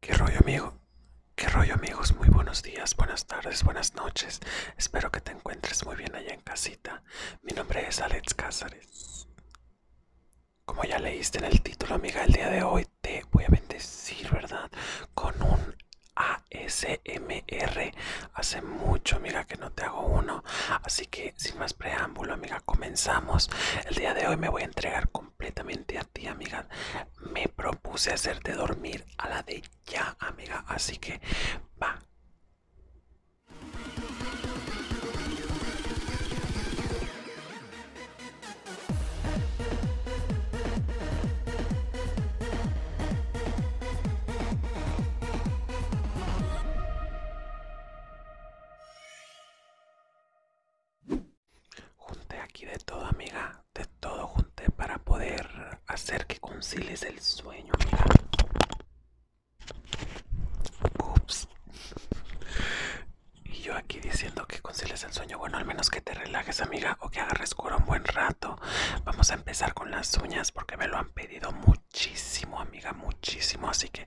¿Qué rollo, amigo? ¿Qué rollo, amigos? Muy buenos días, buenas tardes, buenas noches. Espero que te encuentres muy bien allá en casita. Mi nombre es Alex Cázares. Como ya leíste en el título, amiga, el día de hoy te voy a bendecir, ¿verdad? Con un ASMR. Hace mucho, amiga, que no te hago uno. Así que, sin más preámbulo, amiga, comenzamos. El día de hoy me voy a entregar completamente tía amiga. Me propuse hacerte dormir a la de ya, amiga. Así que va. Junte aquí de todo, amiga. De todo junte para poder hacer que conciles el sueño, amiga. Ups. Y yo aquí diciendo que conciles el sueño. Bueno, al menos que te relajes, amiga, o que agarres cura un buen rato. Vamos a empezar con las uñas porque me lo han pedido muchísimo, amiga, muchísimo. Así que...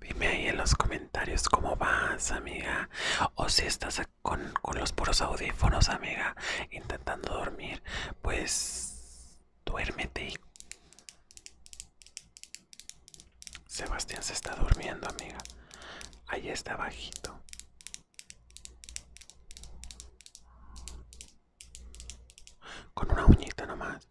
Dime ahí en los comentarios cómo vas, amiga. O si estás con, los puros audífonos, amiga, intentando dormir, pues duérmete. Sebastián se está durmiendo, amiga. Ahí está bajito. Con una uñita nomás.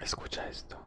Escucha esto.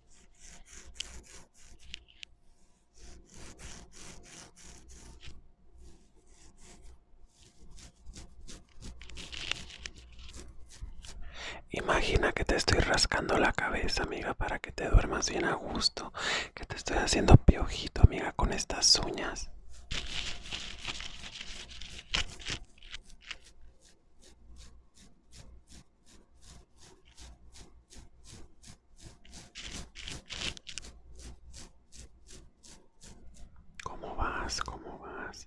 Imagina que te estoy rascando la cabeza, amiga, para que te duermas bien a gusto, que te estoy haciendo piojito, amiga, con estas uñas. ¿Cómo vas? ¿Cómo vas?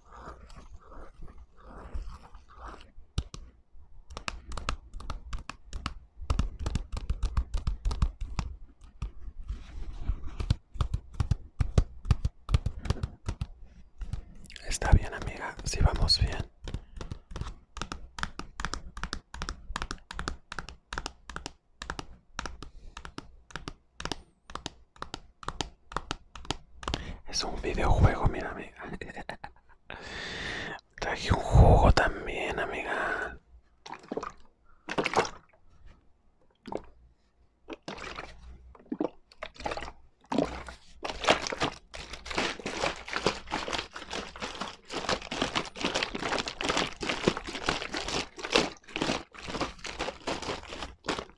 Está bien, amiga, si vamos bien. Es un videojuego, mira, amiga. Traje un jugo también, amiga.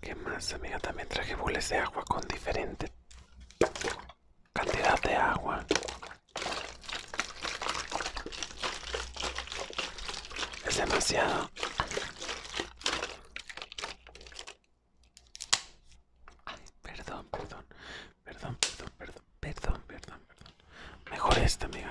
¿Qué más, amiga? También traje bules de agua con diferente cantidad de agua. Es demasiado. Ay, perdón, perdón, perdón, perdón, perdón, perdón, perdón, perdón. Mejor esta, amiga.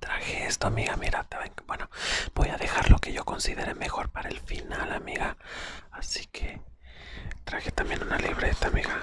Traje esto, amiga. Mira, bueno, voy a dejar lo que yo considere mejor para el final, amiga. Así que traje también una libreta, amiga.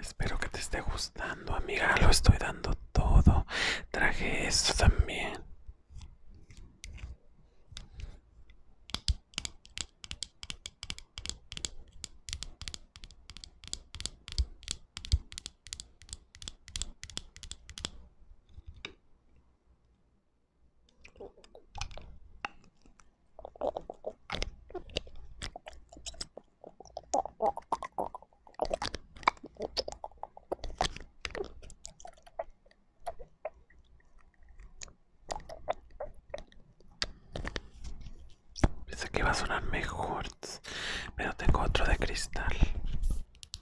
Espero que te esté gustando, amiga. Lo estoy dando todo. Traje esto también. Pensé que va a sonar mejor, pero tengo otro de cristal.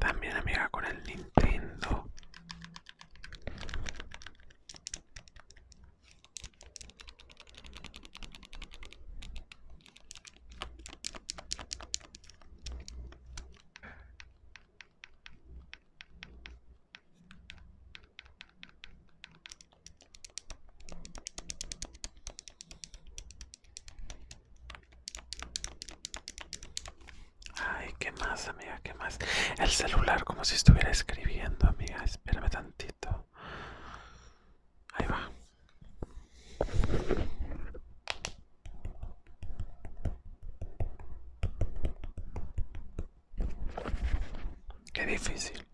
También amiga con el Nintendo. Ay, ¿qué más, amiga? ¿Qué más? El celular, como si estuviera escribiendo, amiga. Espérame tantito. Ahí va. Qué difícil.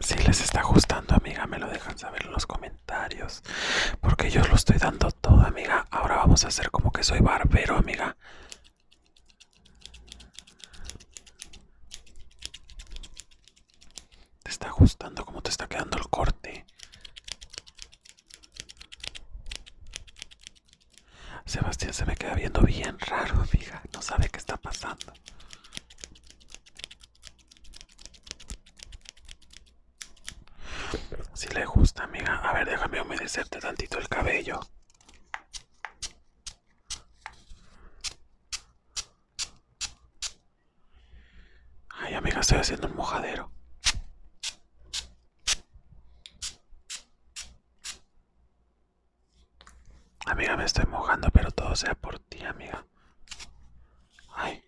Si les está ajustando, amiga, me lo dejan saber en los comentarios. Porque yo lo estoy dando todo, amiga. Ahora vamos a hacer como que soy barbero, amiga. ¿Te está gustando cómo te está quedando el corte? Sebastián se me queda viendo bien raro, amiga. No sabe qué está pasando. Si le gusta, amiga. A ver, déjame humedecerte tantito el cabello. Ay, amiga, estoy haciendo un mojadero. Amiga, me estoy mojando, pero todo sea por ti, amiga. Ay.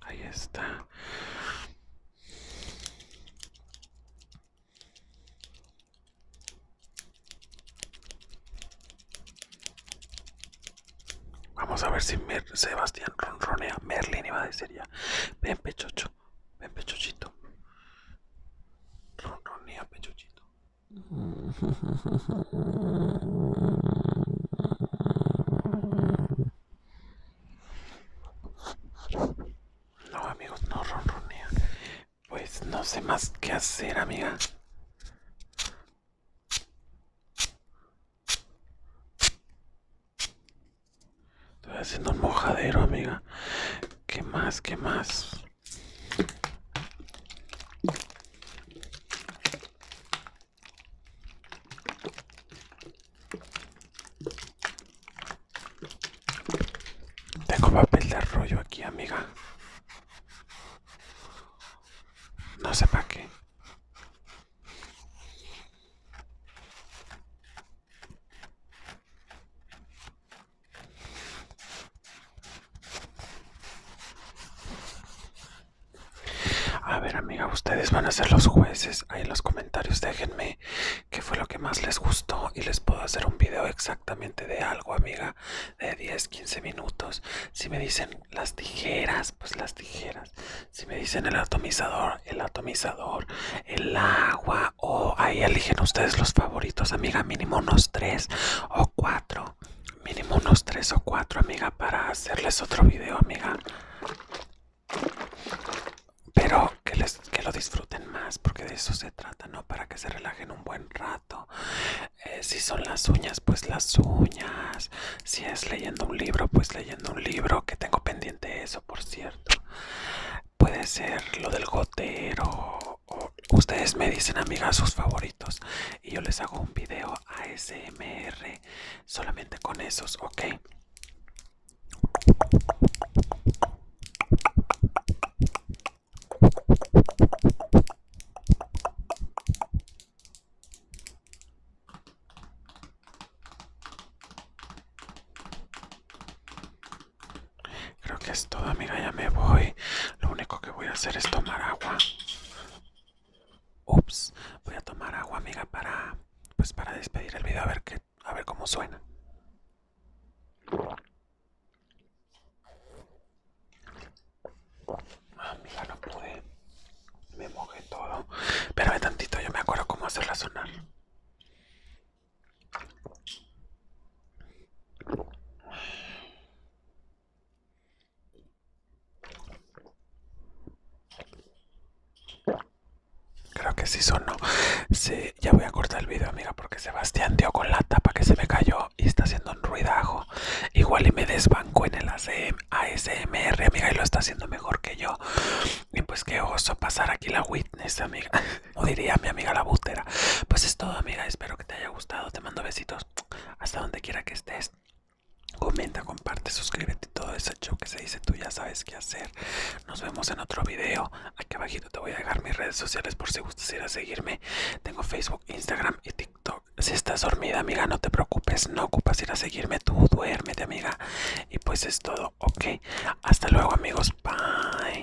Ahí está. Vamos a ver si Sebastián ronronea. Merlin iba a decir ya. Ven, pechocho. Ven, pechochito. Ronronea, pechochito. No, amigos, no ronronea. Pues no sé más qué hacer, amiga. Estoy haciendo un mojadero, amiga. ¿Qué más? ¿Qué más? Tengo papel de rollo aquí, amiga. No sé para qué. A ver, amiga, ustedes van a ser los jueces. Ahí en los comentarios déjenme qué fue lo que más les gustó y les puedo hacer un video exactamente de algo, amiga, de 10, 15 minutos. Si me dicen las tijeras, pues las tijeras. Si me dicen el atomizador, el atomizador, el agua, o ahí eligen ustedes los favoritos, amiga, mínimo unos 3 o 4 mínimo unos tres o cuatro amiga para hacerles otro video amiga pero que les que lo disfruten más porque de eso se trata no para que se relajen un buen rato eh, si son las uñas pues las uñas si es leyendo un libro pues leyendo un libro que tengo pendiente eso por cierto puede ser lo del gotero ustedes me dicen amigas sus favoritos y yo les hago un video ASMR solamente con esos, ok. Creo que es todo, amiga, ya me voy. Lo único que voy a hacer es tomar agua. Ups, voy a tomar agua, amiga, para pues para despedir el video a ver que a ver cómo suena. Ah, amiga, no pude. Me mojé todo. de tantito, yo me acuerdo cómo hacerla sonar. Creo que sí sonó. Sí, ya voy a cortar el video, amiga, porque Sebastián dio con la tapa que se me cayó y está haciendo un ruidajo. Igual y me desbanco en el ASMR, amiga, y lo está haciendo mejor que yo. Y pues qué oso pasar aquí la witness, amiga. O diría mi amiga la bútera Pues es todo, amiga. Espero que te haya gustado. Te mando besitos hasta donde quiera que estés. Comenta, comparte, suscríbete todo ese show que se dice, tú ya sabes qué hacer. Nos vemos en otro video. Aquí abajito te voy a dejar mis redes sociales por si gustas ir a seguirme. Tengo Facebook, Instagram y TikTok. Si estás dormida, amiga, no te preocupes, no ocupas ir a seguirme, tú duérmete, amiga. Y pues es todo, ok. Hasta luego, amigos. Bye.